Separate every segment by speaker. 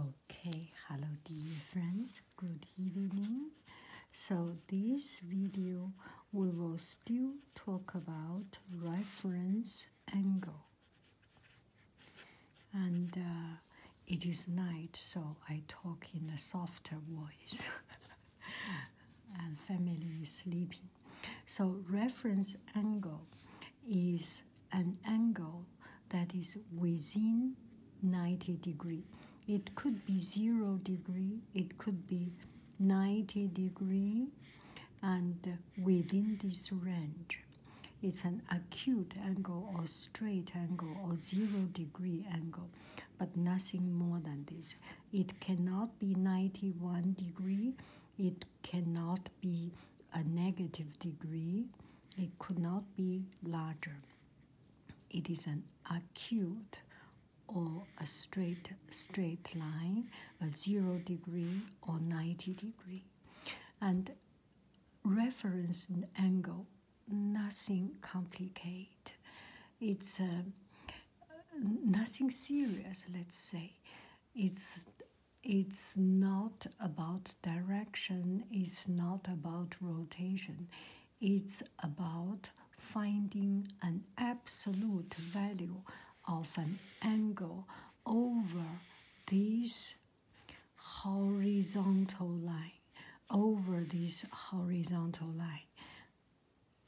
Speaker 1: Okay, hello dear friends, good evening. So this video we will still talk about reference angle. And uh, it is night, so I talk in a softer voice. and family is sleeping. So reference angle is an angle that is within 90 degree. It could be 0 degree, it could be 90 degree and within this range. It's an acute angle or straight angle or zero degree angle, but nothing more than this. It cannot be 91 degree. It cannot be a negative degree. It could not be larger. It is an acute or a straight straight line, a zero degree or 90 degree. And reference angle, nothing complicated. It's uh, nothing serious, let's say. It's it's not about direction, it's not about rotation, it's about finding an absolute value of an angle over this horizontal line, over this horizontal line.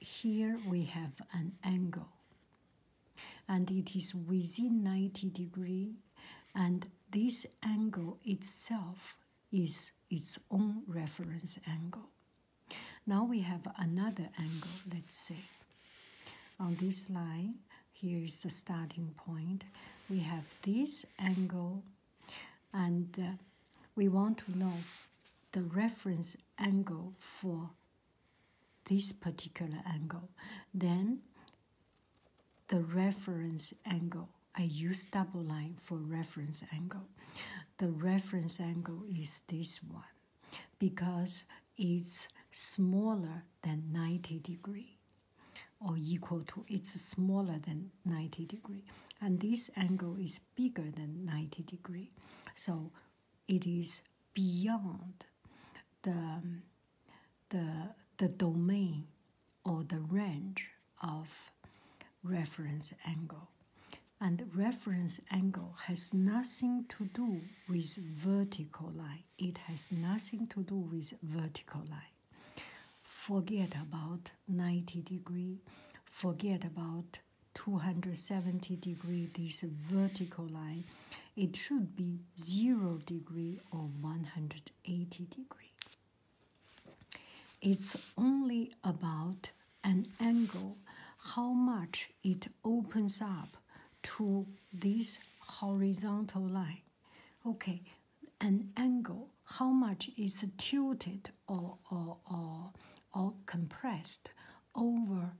Speaker 1: Here we have an angle and it is within 90 degree and this angle itself is its own reference angle. Now we have another angle, let's say. On this line, here is the starting point. We have this angle, and uh, we want to know the reference angle for this particular angle. Then the reference angle. I use double line for reference angle. The reference angle is this one because it's smaller than 90 degree or equal to, it's smaller than 90 degree. And this angle is bigger than 90 degree. So it is beyond the um, the, the domain or the range of reference angle. And reference angle has nothing to do with vertical line. It has nothing to do with vertical line. Forget about 90 degree, forget about 270 degree, this vertical line it should be 0 degree or 180 degree. It's only about an angle, how much it opens up to this horizontal line. Okay, an angle, how much is tilted or, or, or, or compressed over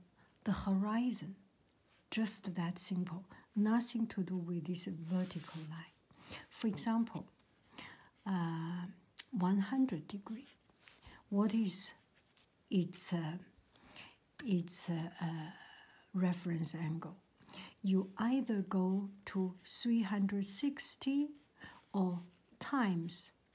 Speaker 1: the horizon. Just that simple. Nothing to do with this vertical line. For example, uh, 100 degree. What is its uh, its uh, reference angle? You either go to 360 or times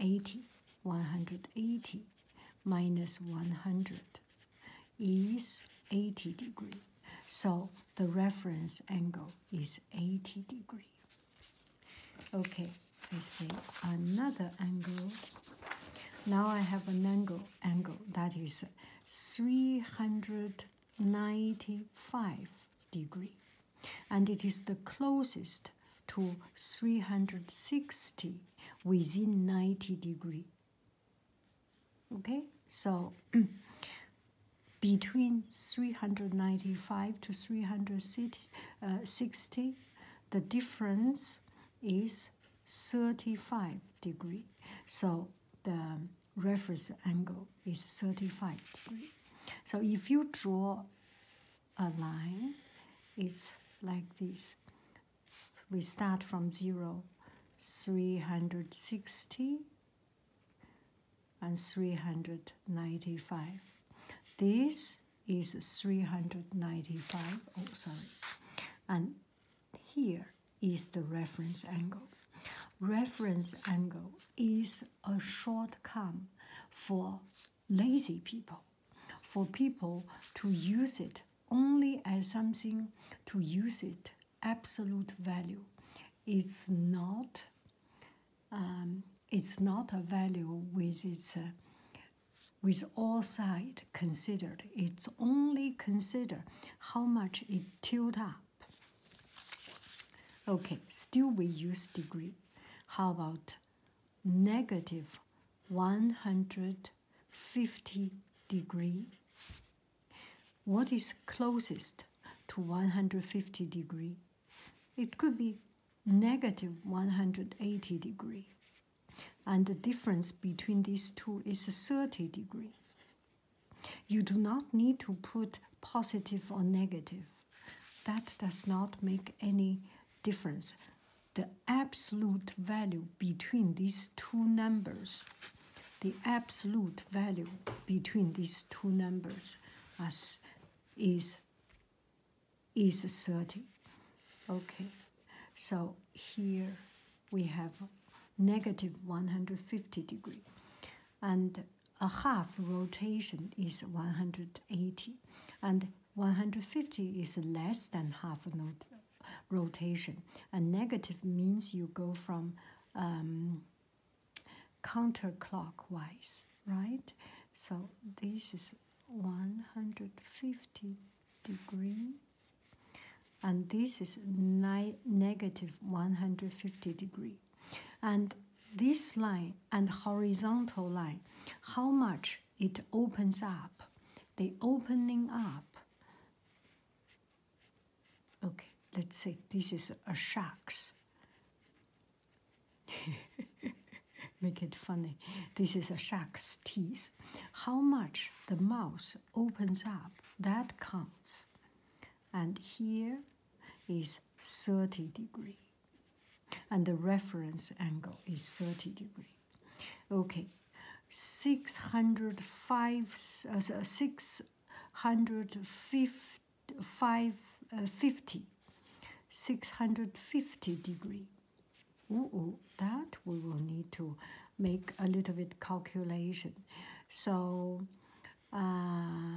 Speaker 1: 80 180 minus 100 is 80 degree so the reference angle is 80 degree okay i say another angle now i have an angle angle that is 395 degree and it is the closest to 360 within 90 degree okay so between 395 to 360 uh, the difference is 35 degree so the reference angle is 35 degree so if you draw a line it's like this we start from zero 360 and 395 this is 395 oh sorry and here is the reference angle reference angle is a short come for lazy people, for people to use it only as something to use it absolute value. It's not. Um, it's not a value with its uh, with all sides considered. It's only consider how much it tilted up. Okay, still we use degree. How about negative 150 degree what is closest to 150 degree it could be negative 180 degree and the difference between these two is 30 degree you do not need to put positive or negative that does not make any difference. The absolute value between these two numbers, the absolute value between these two numbers as is is 30. Okay, so here we have negative 150 degree. And a half rotation is 180 and 150 is less than half note rotation. A negative means you go from um, counterclockwise, right? So this is 150 degree and this is 150 degree. And this line and horizontal line, how much it opens up, the opening up. Okay, let's see. This is a shark's. Make it funny. This is a shark's teeth. How much the mouth opens up, that counts. And here is 30 degree and the reference angle is 30 degree. Okay, 605, uh, uh 650, uh, five, 650 degree. ooh, that we will need to make a little bit calculation. So, uh,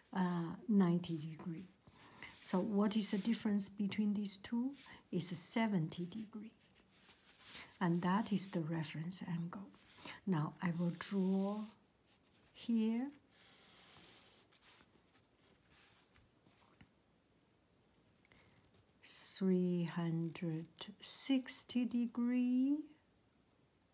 Speaker 1: uh, 90 degree. So what is the difference between these two? Is 70 degree. And that is the reference angle. Now I will draw here. Three hundred sixty degree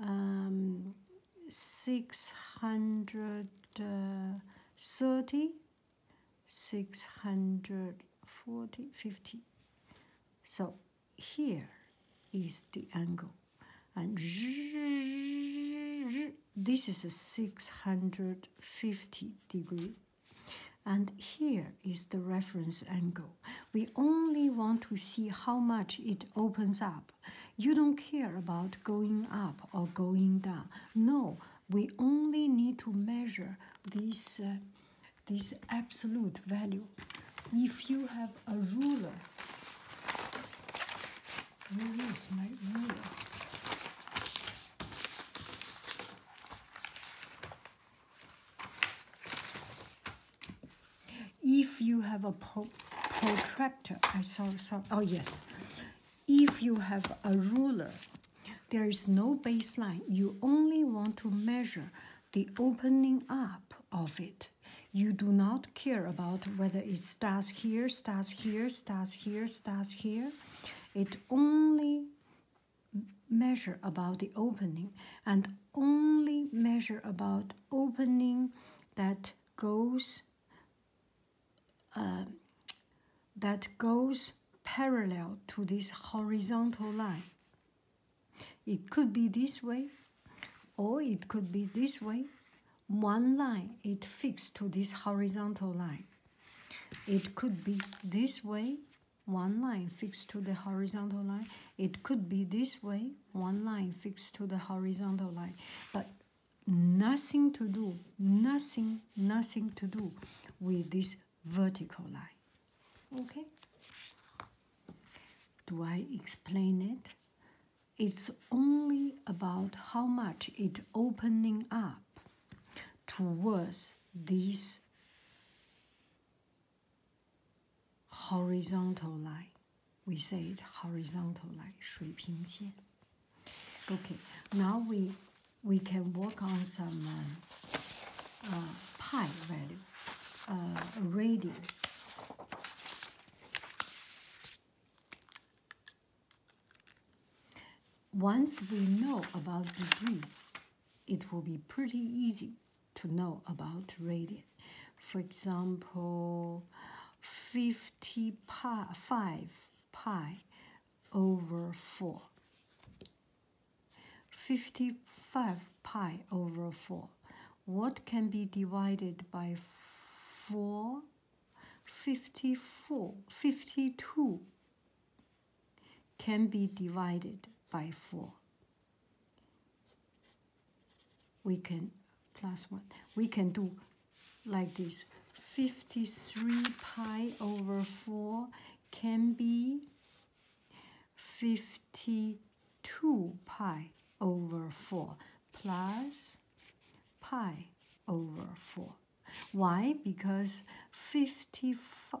Speaker 1: um, 630, uh, 640, 50. So here is the angle. And this is a 650 degree. And here is the reference angle. We only want to see how much it opens up. You don't care about going up or going down. No, we only need to measure this, uh, this absolute value. If you have a ruler? If you have a protractor, I saw, oh yes. If you have a ruler, there is no baseline. You only want to measure the opening up of it. You do not care about whether it starts here, starts here, starts here, starts here. It only measure about the opening and only measure about opening that goes uh, that goes parallel to this horizontal line. It could be this way or it could be this way. One line it fixed to this horizontal line. It could be this way one line fixed to the horizontal line. It could be this way, one line fixed to the horizontal line, but nothing to do, nothing, nothing to do with this vertical line. Okay? Do I explain it? It's only about how much it's opening up towards this horizontal line. We say it horizontal line, 水平线. Okay, now we we can work on some uh, uh, pi value, uh, radius. Once we know about degree, it will be pretty easy to know about radian. For example, 50 5 pi over 4. 55 pi over 4. What can be divided by 4? 54, 52 can be divided by 4. We can, plus 1, we can do like this. 53 pi over 4 can be 52 pi over 4 plus pi over 4. Why? Because 55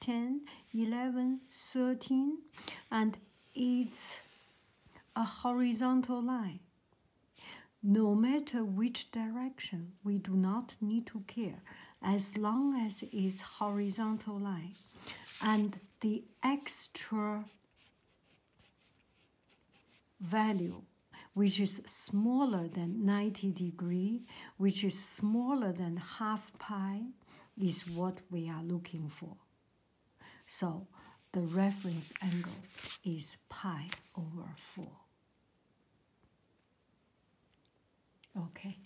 Speaker 1: 10, 11, 13, and it's a horizontal line. No matter which direction, we do not need to care as long as it's horizontal line. And the extra value which is smaller than 90 degree, which is smaller than half pi is what we are looking for. So the reference angle is pi over 4. Okay,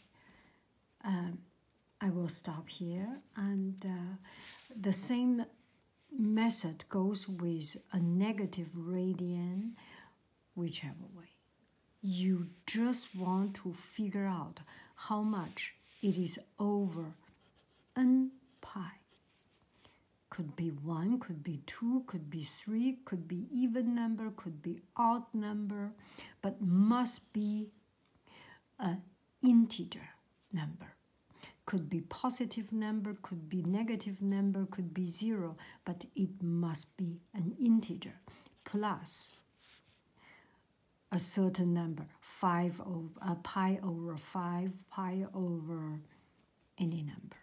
Speaker 1: um, I will stop here. And uh, the same method goes with a negative radian whichever way. You just want to figure out how much it is over n pi. Could be 1, could be 2, could be 3, could be even number, could be odd number, but must be an integer number. Could be positive number, could be negative number, could be 0 but it must be an integer plus a certain number, five of a pi over five, pi over any number,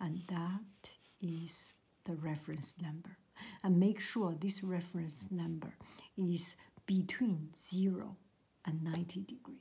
Speaker 1: and that is the reference number. And make sure this reference number is between zero and ninety degree.